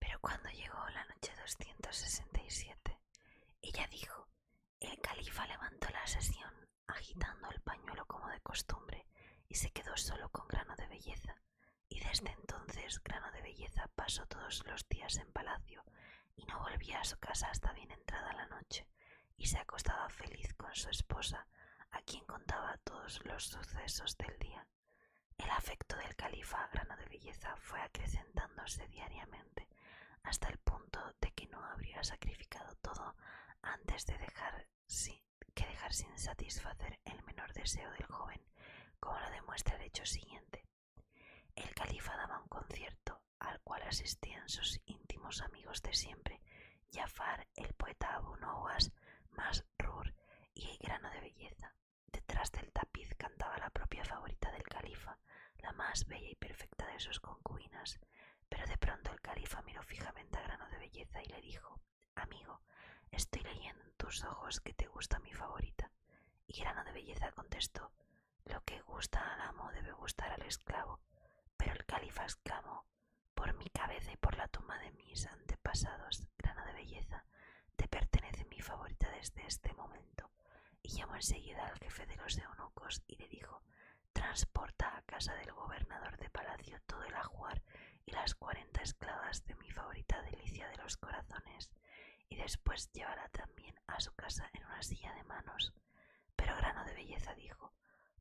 Pero cuando llegó la noche 267, ella dijo, el califa levantó la sesión agitando el pañuelo como de costumbre y se quedó solo con grano de belleza. Y desde entonces grano de belleza pasó todos los días en palacio y no volvía a su casa hasta bien entrada la noche, y se acostaba feliz con su esposa, a quien contaba todos los sucesos del día. El afecto del califa a grano de belleza fue acrecentándose diariamente, hasta el punto de que no habría sacrificado todo antes de dejar que dejar sin satisfacer el menor deseo del joven, como lo demuestra el hecho siguiente. El califa daba un concierto al cual asistían sus íntimos amigos de siempre, Jafar, el poeta Abu Nowas, Masrur y el grano de belleza. Detrás del tapiz cantaba la propia favorita del califa, la más bella y perfecta de sus concubinas. Pero de pronto el califa miró fijamente a grano de belleza y le dijo Amigo, estoy leyendo en tus ojos que te gusta mi favorita. Y grano de belleza contestó lo que gusta al amo debe gustar al esclavo. Pero el califa exclamó, por mi cabeza y por la tumba de mis antepasados, grano de belleza, te pertenece mi favorita desde este momento. Y llamó enseguida al jefe de los eunucos y le dijo, transporta a casa del gobernador de palacio todo el ajuar y las cuarenta esclavas de mi favorita delicia de los corazones, y después llévala también a su casa en una silla de manos. Pero Grano de Belleza dijo,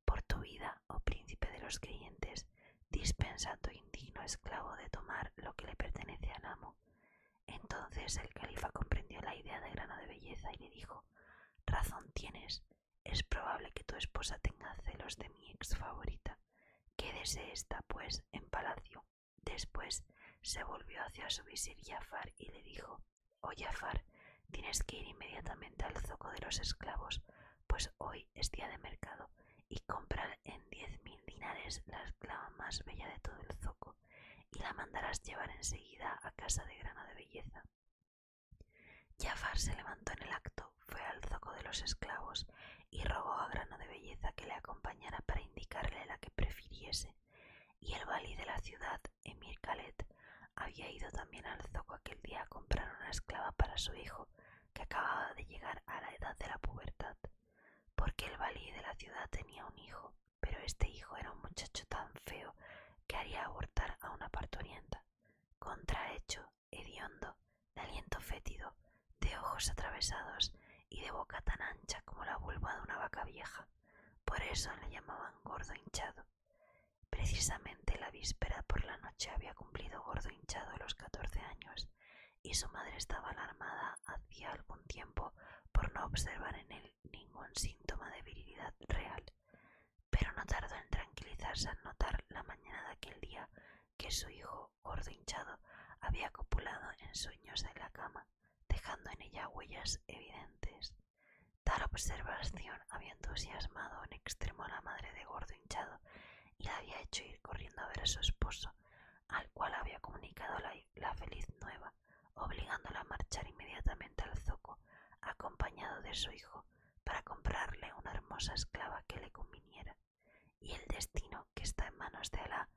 Por tu vida, oh príncipe de los creyentes, dispensa a tu indigno esclavo de tomar lo que le pertenece al amo. Entonces el califa comprendió la idea de Grano de Belleza y le dijo, Razón tienes, es probable que tu esposa tenga celos de mi ex favorita. Quédese esta, pues, en palacio Después se volvió hacia su visir Jafar y le dijo: Oh Jafar, tienes que ir inmediatamente al zoco de los esclavos, pues hoy es día de mercado, y comprar en diez mil dinares la esclava más bella de todo el zoco, y la mandarás llevar enseguida a casa de grano de belleza. Jafar se levantó en el acto, fue al zoco de los esclavos y rogó a Grano de Belleza que le acompañara para indicarle la que prefiriese y el valí de la ciudad, Emir Khaled, había ido también al zoco aquel día a comprar una esclava para su hijo, que acababa de llegar a la edad de la pubertad, porque el valí de la ciudad tenía un hijo, pero este hijo era un muchacho tan feo que haría abortar a una parturienta, contrahecho, hediondo, de aliento fétido, de ojos atravesados y de boca tan ancha como la vulva de una vaca vieja por eso le llamaban gordo hinchado. Precisamente la víspera por la noche había cumplido gordo hinchado los catorce años y su madre estaba alarmada hacía algún tiempo por no observar en él ningún síntoma de virilidad real, pero no tardó en tranquilizarse al notar la mañana de aquel día que su hijo, gordo hinchado, había copulado en sueños en la cama dejando en ella huellas evidentes. Tal observación había entusiasmado en extremo a la madre de gordo hinchado y la había hecho ir corriendo a ver a su esposo, al cual había comunicado la, feliz nueva, obligándola a marchar inmediatamente al zoco, acompañado de su hijo, para comprarle una hermosa esclava que le conviniera. Y el destino que está en manos de la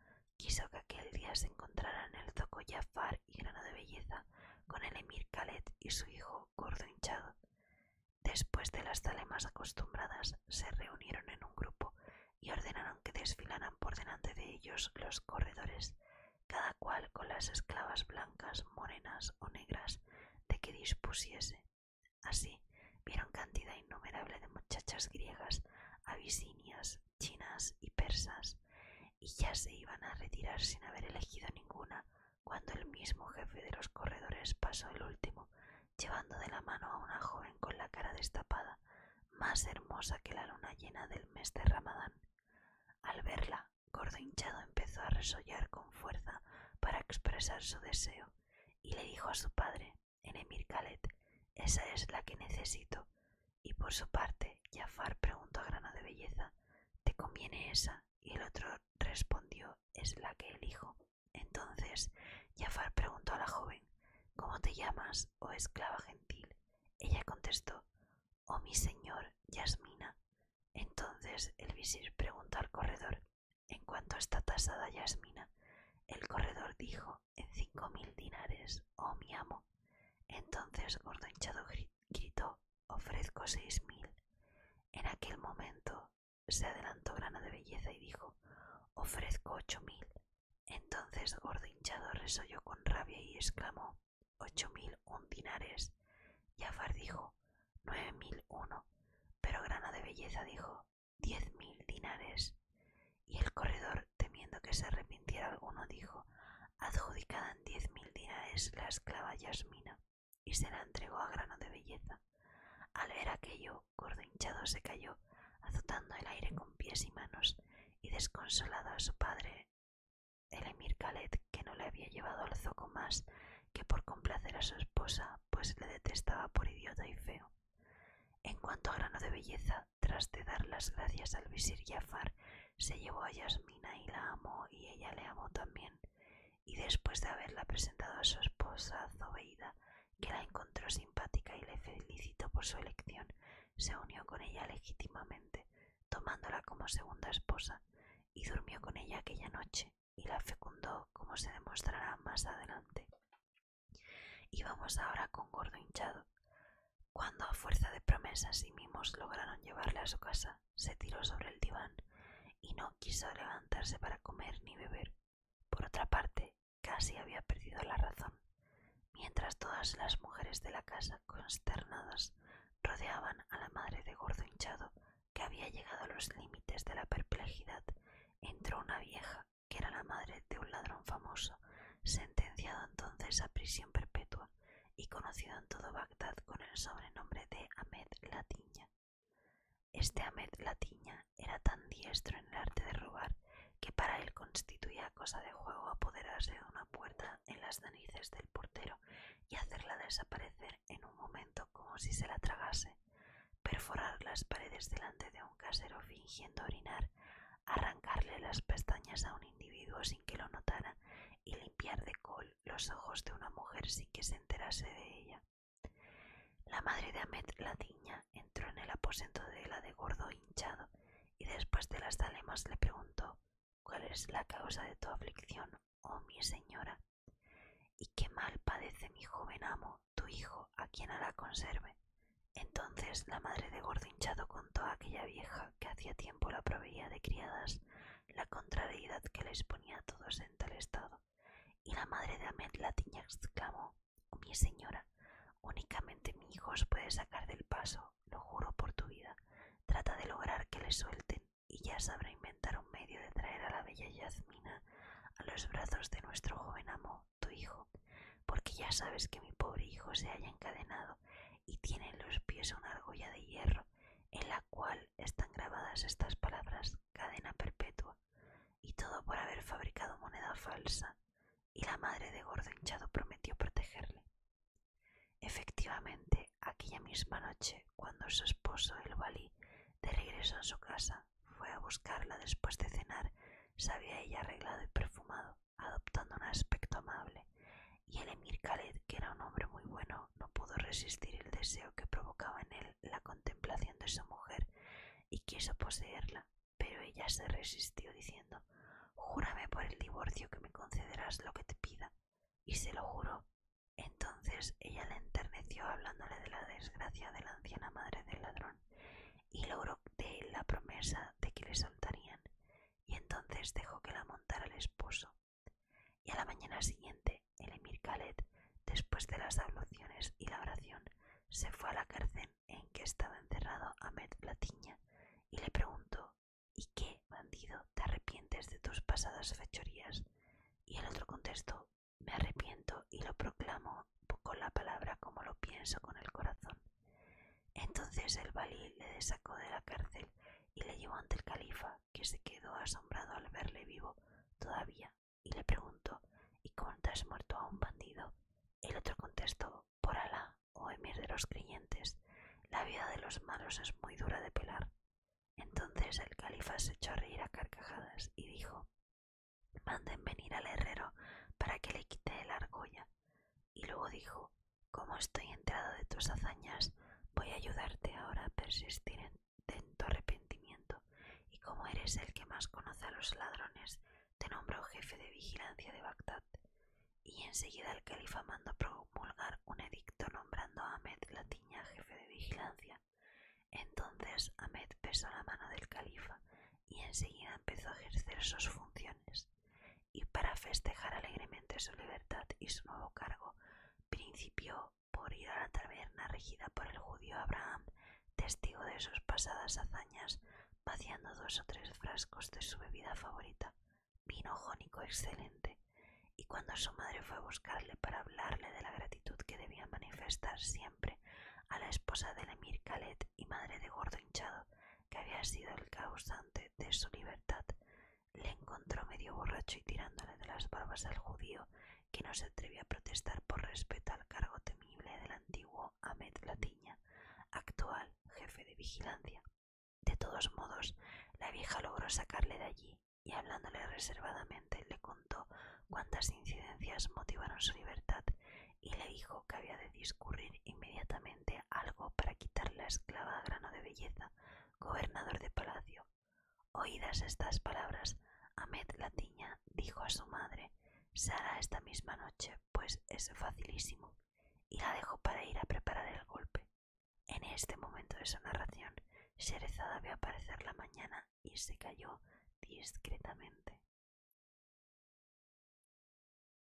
quiso que aquel día se encontraran el zoco Jafar y Grano de Belleza con el emir Khaled y su hijo gordo hinchado. Después de las zalemas acostumbradas, se reunieron en un grupo y ordenaron que desfilaran por delante de ellos los corredores, cada cual con las esclavas blancas, morenas o negras de que dispusiese. Así vieron cantidad innumerable de muchachas griegas, abisinias, chinas y persas, y ya se iban a retirar sin haber elegido ninguna, cuando el mismo jefe de los corredores pasó el último, llevando de la mano a una joven con la cara destapada, más hermosa que la luna llena del mes de Ramadán. Al verla, Gordo hinchado empezó a resollar con fuerza para expresar su deseo, y le dijo a su padre, en Emir Khaled, esa es la que necesito. Y por su parte, Jafar preguntó a Grano de Belleza, ¿te conviene esa? Y el otro respondió, es la que elijo. Entonces, Jafar preguntó a la joven, ¿cómo te llamas, oh esclava gentil? Ella contestó, oh mi señor, Yasmina. Entonces el visir preguntó al corredor, ¿en cuánto está tasada Yasmina? El corredor dijo, en cinco mil dinares, oh mi amo. Entonces Gordo Hinchado gritó, ofrezco seis mil. En aquel momento se adelantó Grana de Belleza y dijo, ofrezco ocho mil. Entonces Gordo Hinchado resolló con rabia y exclamó, ocho mil un dinares. Jafar dijo, nueve mil uno. Pero Grana de Belleza dijo, diez mil dinares. Y el corredor temiendo que se arrepintiera alguno, dijo adjudicada en diez mil dinares la esclava Yasmina, y se la entregó a grano de belleza. Al ver aquello, gordo hinchado se cayó, azotando el aire con pies y manos, y desconsolado a su padre, el emir Khaled, que no le había llevado al zoco más que por complacer a su esposa, pues le detestaba por idiota y feo. En cuanto a grano de belleza, tras de dar las gracias al visir Jafar, se llevó a Yasmina y la amó y ella le amó también. Y después de haberla presentado a su esposa Zobeida, que la encontró simpática y le felicitó por su elección, se unió con ella legítimamente, tomándola como segunda esposa, y durmió con ella aquella noche, y la fecundó, como se demostrará más adelante. Y vamos ahora con Gordo Hinchado. Cuando a fuerza de promesas y mimos lograron llevarle a su casa, se tiró sobre el diván y no quiso levantarse para comer ni beber. Por otra parte, casi había perdido la razón, mientras todas las mujeres de la casa, consternadas, rodeaban a la madre de gordo hinchado que había llegado a los límites de la perplejidad. Entró una vieja, que era la madre de un ladrón famoso sentenciado entonces a prisión perpetua y conocido en todo Bagdad con el sobrenombre de Ahmed Latiña. Este Ahmed Latiña era tan diestro en el arte de robar que para él constituía cosa de juego apoderarse de una puerta en las danices del portero y hacerla desaparecer en un momento como si se la tragase, perforar las paredes delante de un casero fingiendo orinar arrancarle las pestañas a un individuo sin que lo notara y limpiar de col los ojos de una mujer sin que se enterase de ella. La madre de la tiña, entró en el aposento de la de gordo hinchado y después de las alemas le preguntó ¿Cuál es la causa de tu aflicción, oh mi señora? ¿Y qué mal padece mi joven amo, tu hijo, a quien ahora conserve? Entonces la madre de Gordo Hinchado contó a aquella vieja que hacía tiempo la proveía de criadas la contrariedad que les ponía a todos en tal estado, y la madre de Ahmed la tiña exclamó Mi señora, únicamente mi hijo os puede sacar del paso, lo juro por tu vida. Trata de lograr que le suelten, y ya sabrá inventar un medio de traer a la bella yazmina a los brazos de nuestro joven amo, tu hijo porque ya sabes que mi pobre hijo se haya encadenado y tiene en los pies una argolla de hierro en la cual están grabadas estas palabras cadena perpetua y todo por haber fabricado moneda falsa y la madre de gordo hinchado prometió protegerle. Efectivamente, aquella misma noche, cuando su esposo, el valí, de regreso a su casa, fue a buscarla después de cenar, se había ella arreglado y perfumado adoptando un aspecto amable, y el emir Khaled, que era un hombre muy bueno, no pudo resistir el deseo que provocaba en él la contemplación de su mujer y quiso poseerla, pero ella se resistió diciendo Júrame por el divorcio que me concederás lo que te pida. Y se lo juró. Entonces ella le enterneció hablándole de la desgracia de la anciana madre del ladrón y logró de él la promesa de que le soltarían y entonces dejó que la montara el esposo. Y a la mañana siguiente, el emir Khaled, después de las abluciones y la oración, se fue a la cárcel en que estaba encerrado Ahmed Platiña y le preguntó ¿Y qué, bandido, te arrepientes de tus pasadas fechorías? Y el otro contestó Me arrepiento y lo proclamo con la palabra como lo pienso con el corazón. Entonces el valí le desacó de la cárcel y le llevó ante el califa, que se quedó asombrado al verle vivo todavía, y le preguntó ¿Y cómo has muerto a un bandido? El otro contestó Por Alá, oh emir de los creyentes, la vida de los malos es muy dura de pelar. Entonces el califa se echó a reír a carcajadas y dijo Manden venir al herrero para que le quite la argolla y luego dijo, como estoy enterado de tus hazañas, voy a ayudarte ahora a persistir en, tu arrepentimiento, y como eres el que más conoce a los ladrones, te nombro jefe de vigilancia de Bagdad. Y enseguida el califa mandó promulgar un edicto nombrando a Ahmed tiña jefe de vigilancia. Entonces Ahmed besó la mano del califa y enseguida empezó a ejercer sus funciones y para festejar alegremente su libertad y su nuevo cargo, principió por ir a la taberna regida por el judío Abraham, testigo de sus pasadas hazañas, vaciando dos o tres frascos de su bebida favorita, vino jónico excelente, y cuando su madre fue a buscarle para hablarle de la gratitud que debía manifestar siempre a la esposa del emir Khaled y madre de gordo hinchado, que había sido el causante de su libertad, le encontró medio borracho y tirándole de las barbas al judío, que no se atrevía a protestar por respeto al cargo temible del antiguo Ahmed Latiña, actual jefe de vigilancia. De todos modos, la vieja logró sacarle de allí y hablándole reservadamente le contó cuántas incidencias motivaron su libertad y le dijo que había de discurrir inmediatamente algo para quitarle la esclava grano de belleza, gobernador de palacio. Oídas estas palabras, Ahmed Latiña dijo a su madre Sara esta misma noche, pues es facilísimo, y la dejó para ir a preparar el golpe. En este momento de su narración, Sherezada vio aparecer la mañana y se cayó discretamente.